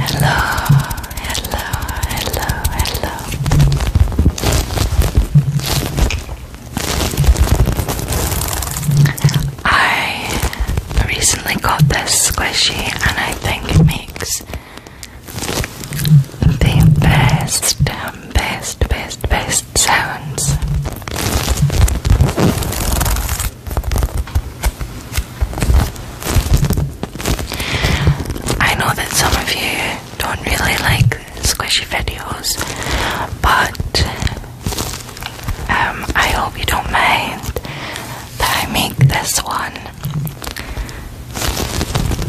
Hello, hello, hello, hello. I recently got this squishy, and I think it makes the best, best, best, best sounds. I know that some of you don't really like squishy videos, but um, I hope you don't mind that I make this one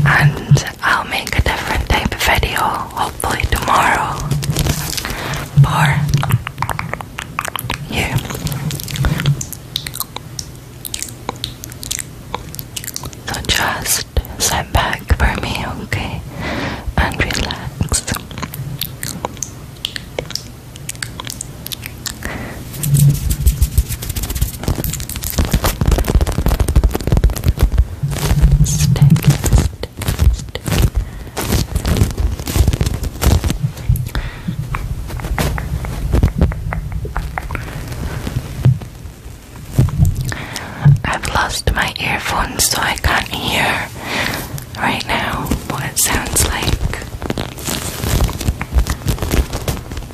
and I'll make a different type of video hopefully tomorrow for you. So just sit back for me, okay? And relax. Stick, stick, I've lost my earphones, so I can't hear right now what it sounds like.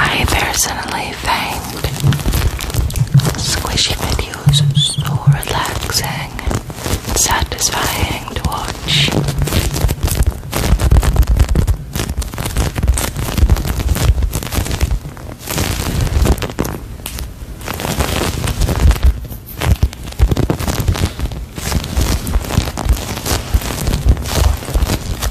I personally find squishy videos so relaxing and satisfying to watch.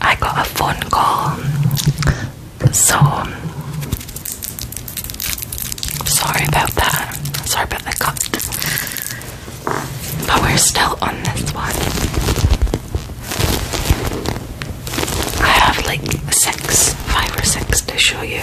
I got a phone call, so sorry about that. Sorry about the cut, but we're still on this one. I have like six, five or six to show you.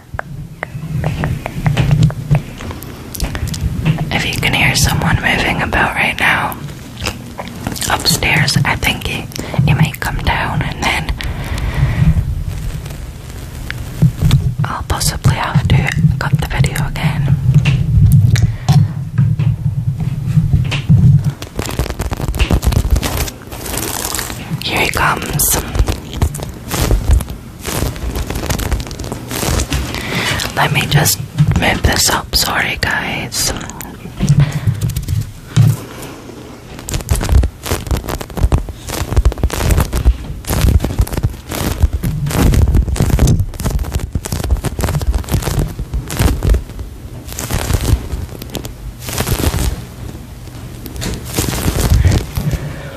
If you can hear someone moving about right now upstairs, I think he, he might come down and then I'll possibly have to cut the video again. Here he comes. Let me just move this up. Sorry, guys. Oh,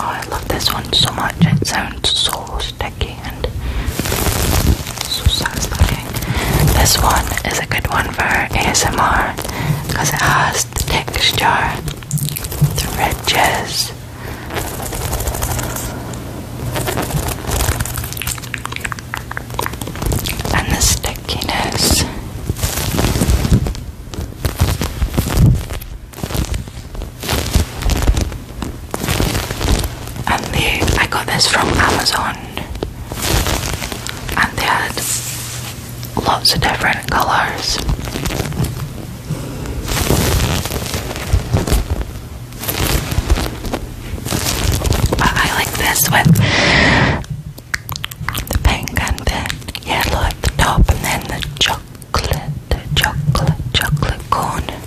I love this one so much, it sounds so sticky. This one is a good one for ASMR because it has the texture, the ridges. And the stickiness and they I got this from Amazon and they had lots of different colours. But I like this with the pink and the yellow at the top and then the chocolate, chocolate, chocolate cone.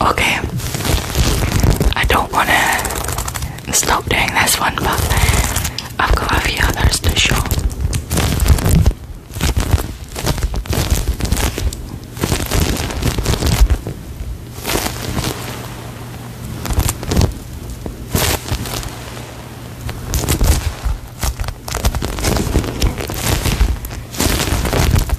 Okay. I don't want to stop doing this one, but I've got a few others to show.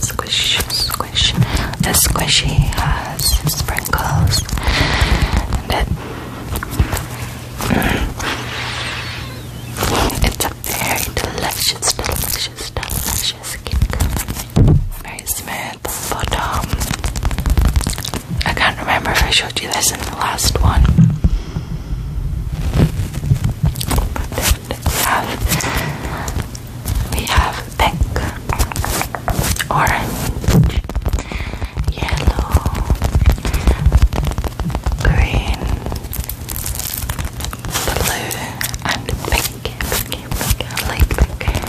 Squish, squish. The squishy has sprinkles. And it, mm, it's a very delicious, delicious, delicious cake. Very smooth photo. I can't remember if I showed you this in the last one have we have pink, orange, yellow, green, blue, and pink, pink, pink, light pink.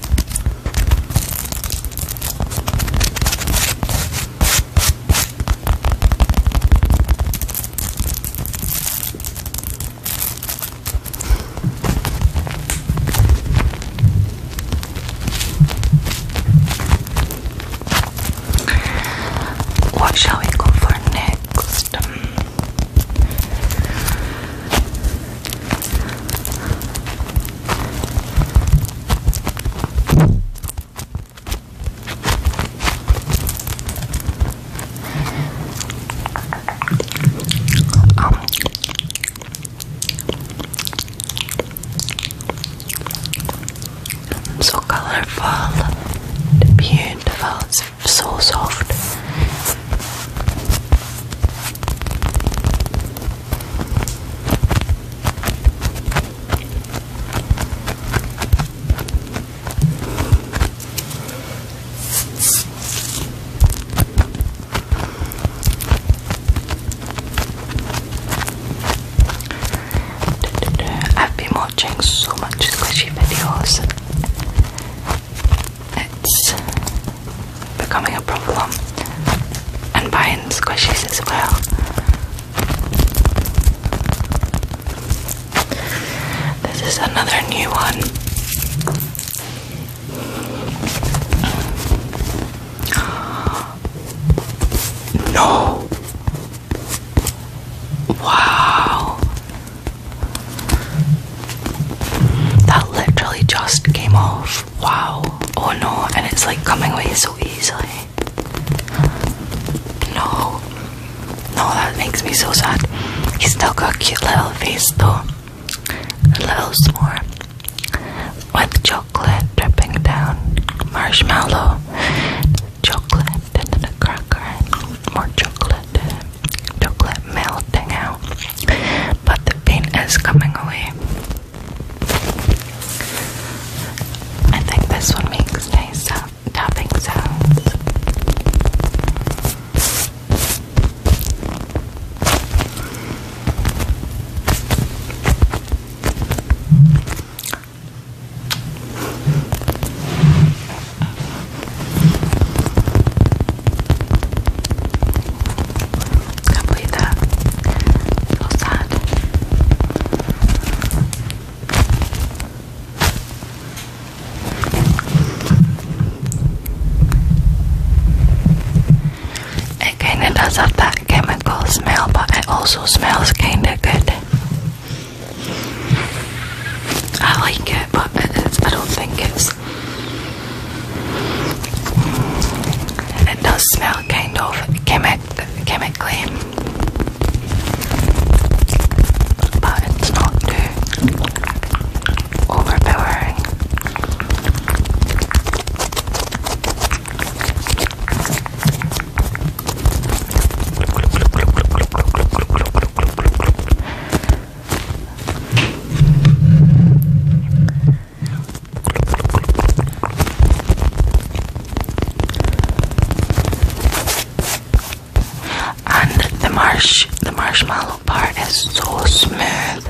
What shall we go for next? Um, so colorful, beautiful, so soft. I've been watching so much squishy videos it's becoming a problem and buying squishies as well. This is another new one. No. Wow. That literally just came off. Wow. Oh no, and it's like coming away so easily. No. No, that makes me so sad. He's still got a cute little face though. A little s'more. With chocolate dripping down. Marshmallow. Chocolate and then a cracker. More chocolate. Chocolate melting out but the pain is coming away. I think this one makes nice tapping sounds can So sad. It kinda does have that chemical smell, but it also smells kinda good. I like it, but I don't think it's it does smell kind of chemic chemically, but it's not overpowering. And the marsh, the marshmallow part is so smooth.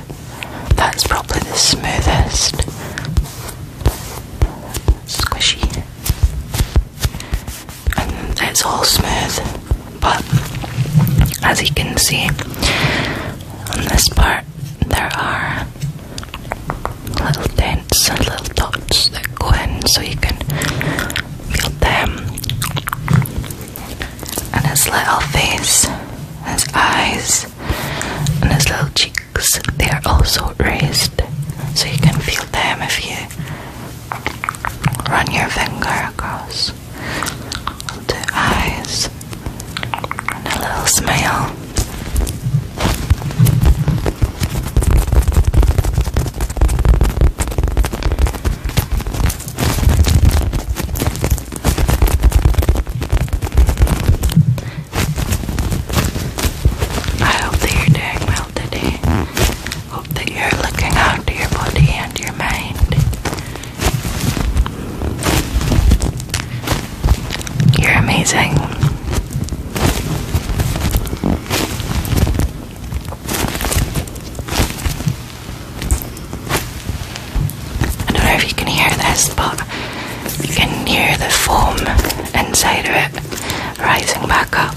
That's probably the smoothest. Squishy. And it's all smooth. But as you can see on this part, there are little dents and little dots that go in so you can feel them. And his little face, his eyes, and his little cheeks, they are also raised so you can feel them if you run your finger across two eyes, and a little smile. I hope that you're doing well today. Hope that you're looking after your body and your mind. You're amazing. I don't know if you can hear this, but you can hear the foam inside of it rising back up.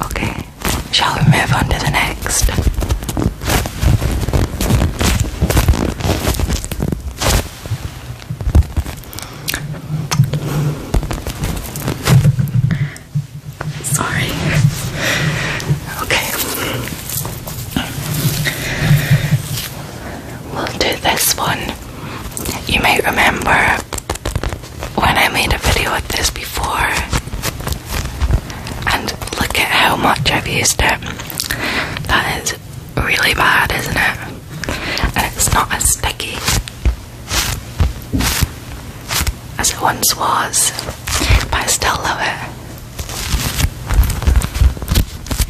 Okay, shall we move on to the next? Sorry. Okay. We'll do this one you may remember when I made a video of this before, and look at how much I've used it. That is really bad, isn't it? And it's not as sticky as it once was, but I still love it.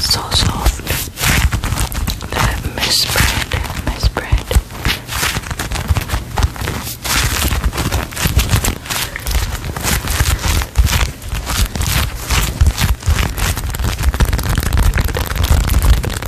So soft. That misbread, misbread.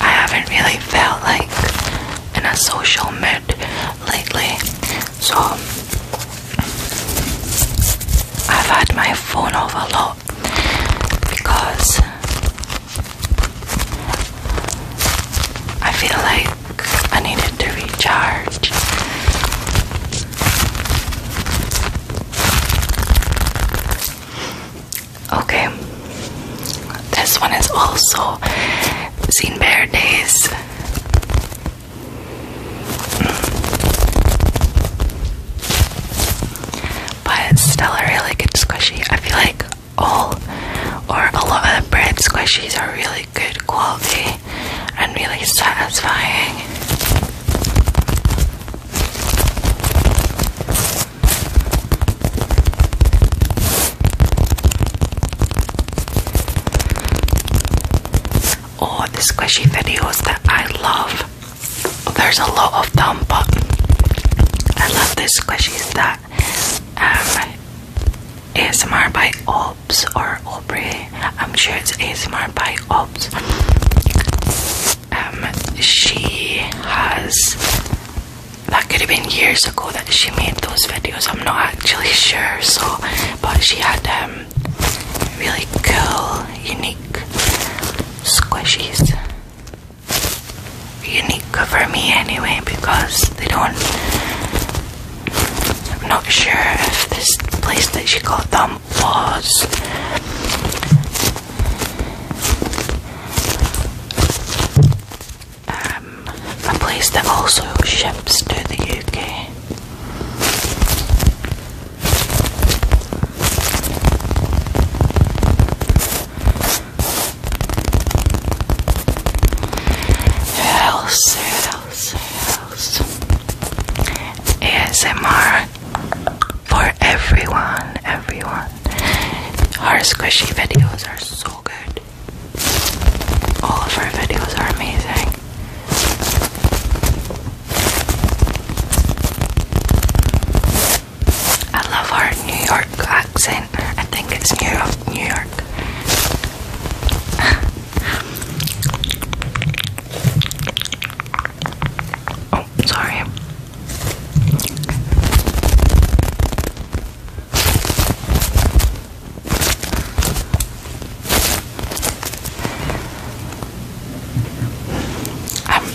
I haven't really felt like in a social mood lately, so I've had my phone off a lot because I feel like I needed to recharge. Okay, this one is also Seen Bear Days. But still a really good squishy. I feel like all or a lot of the bread squishies are really good quality and really satisfying. oh, the squishy videos that I love. There's a lot of them, but I love the squishies that um, ASMR by Ops or Aubrey. I'm sure it's ASMR by Ops. Um, she has that could have been years ago that she made those videos. I'm not actually sure. So, but she had um really cool, unique squishies. Unique for me anyway because they don't I'm not sure if this place that she got them was. Um, a place that also ships to the UK. Else, else, else. ASMR for everyone, everyone. Our squishy videos are so good. All of our videos are amazing. I love our New York accent. I think it's New New York oh, sorry. I'm um,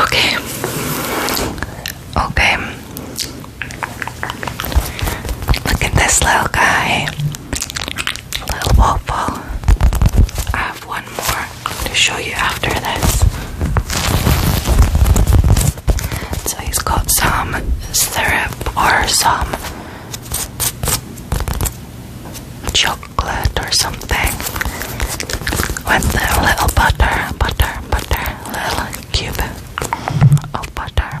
Okay. Okay. Look at this little guy. Little waffle. I have one more to show you after this. So he's got some syrup or some chocolate or something with a little butter, butter, butter, little cube of butter.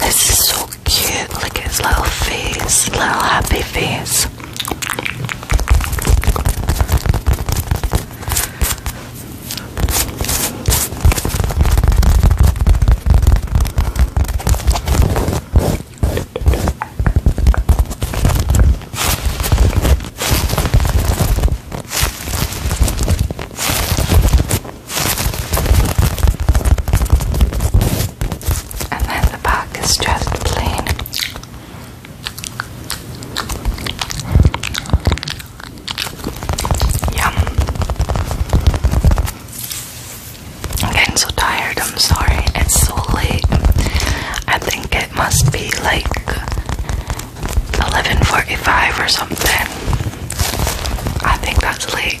This is so cute. Look at his little face, little happy face. And then the back is just plain. Yum. I'm getting so tired, I'm sorry. It's so late. I think it must be like 11:45 or something. I think that's late.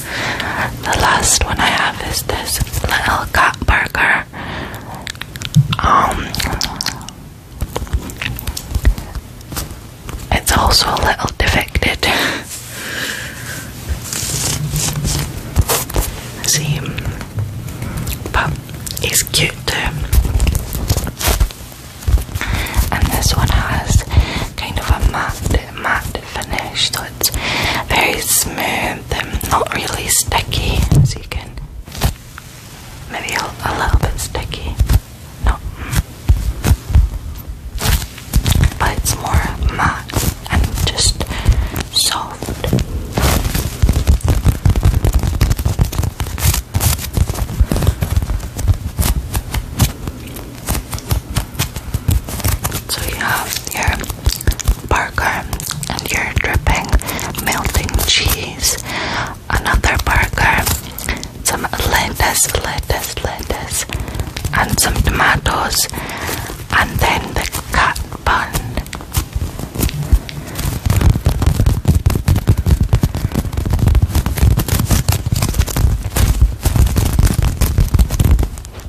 The last one I have is this little cat burger. Um, it's also a little defected. See, but he's cute too. And this one has kind of a matte, matte Finished. it's very smooth and not really sticky. So you can maybe a little bit sticky, no, but it's more matte and just soft. So you have your burger and your dripping melting cheese, another burger, some lettuce, lettuce, lettuce, and some tomatoes, and then the cut bun.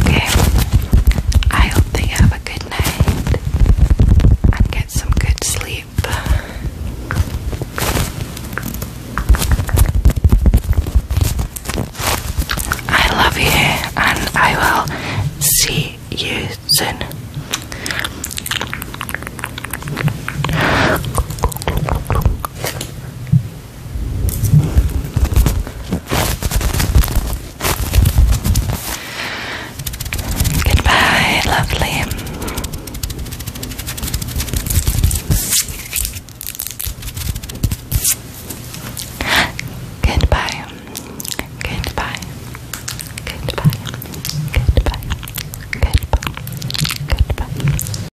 Okay. I hope you have a good night and get some good sleep. I love you and I will see you soon. Goodbye, lovely. Goodbye. Goodbye. Goodbye. Goodbye. Goodbye. Goodbye.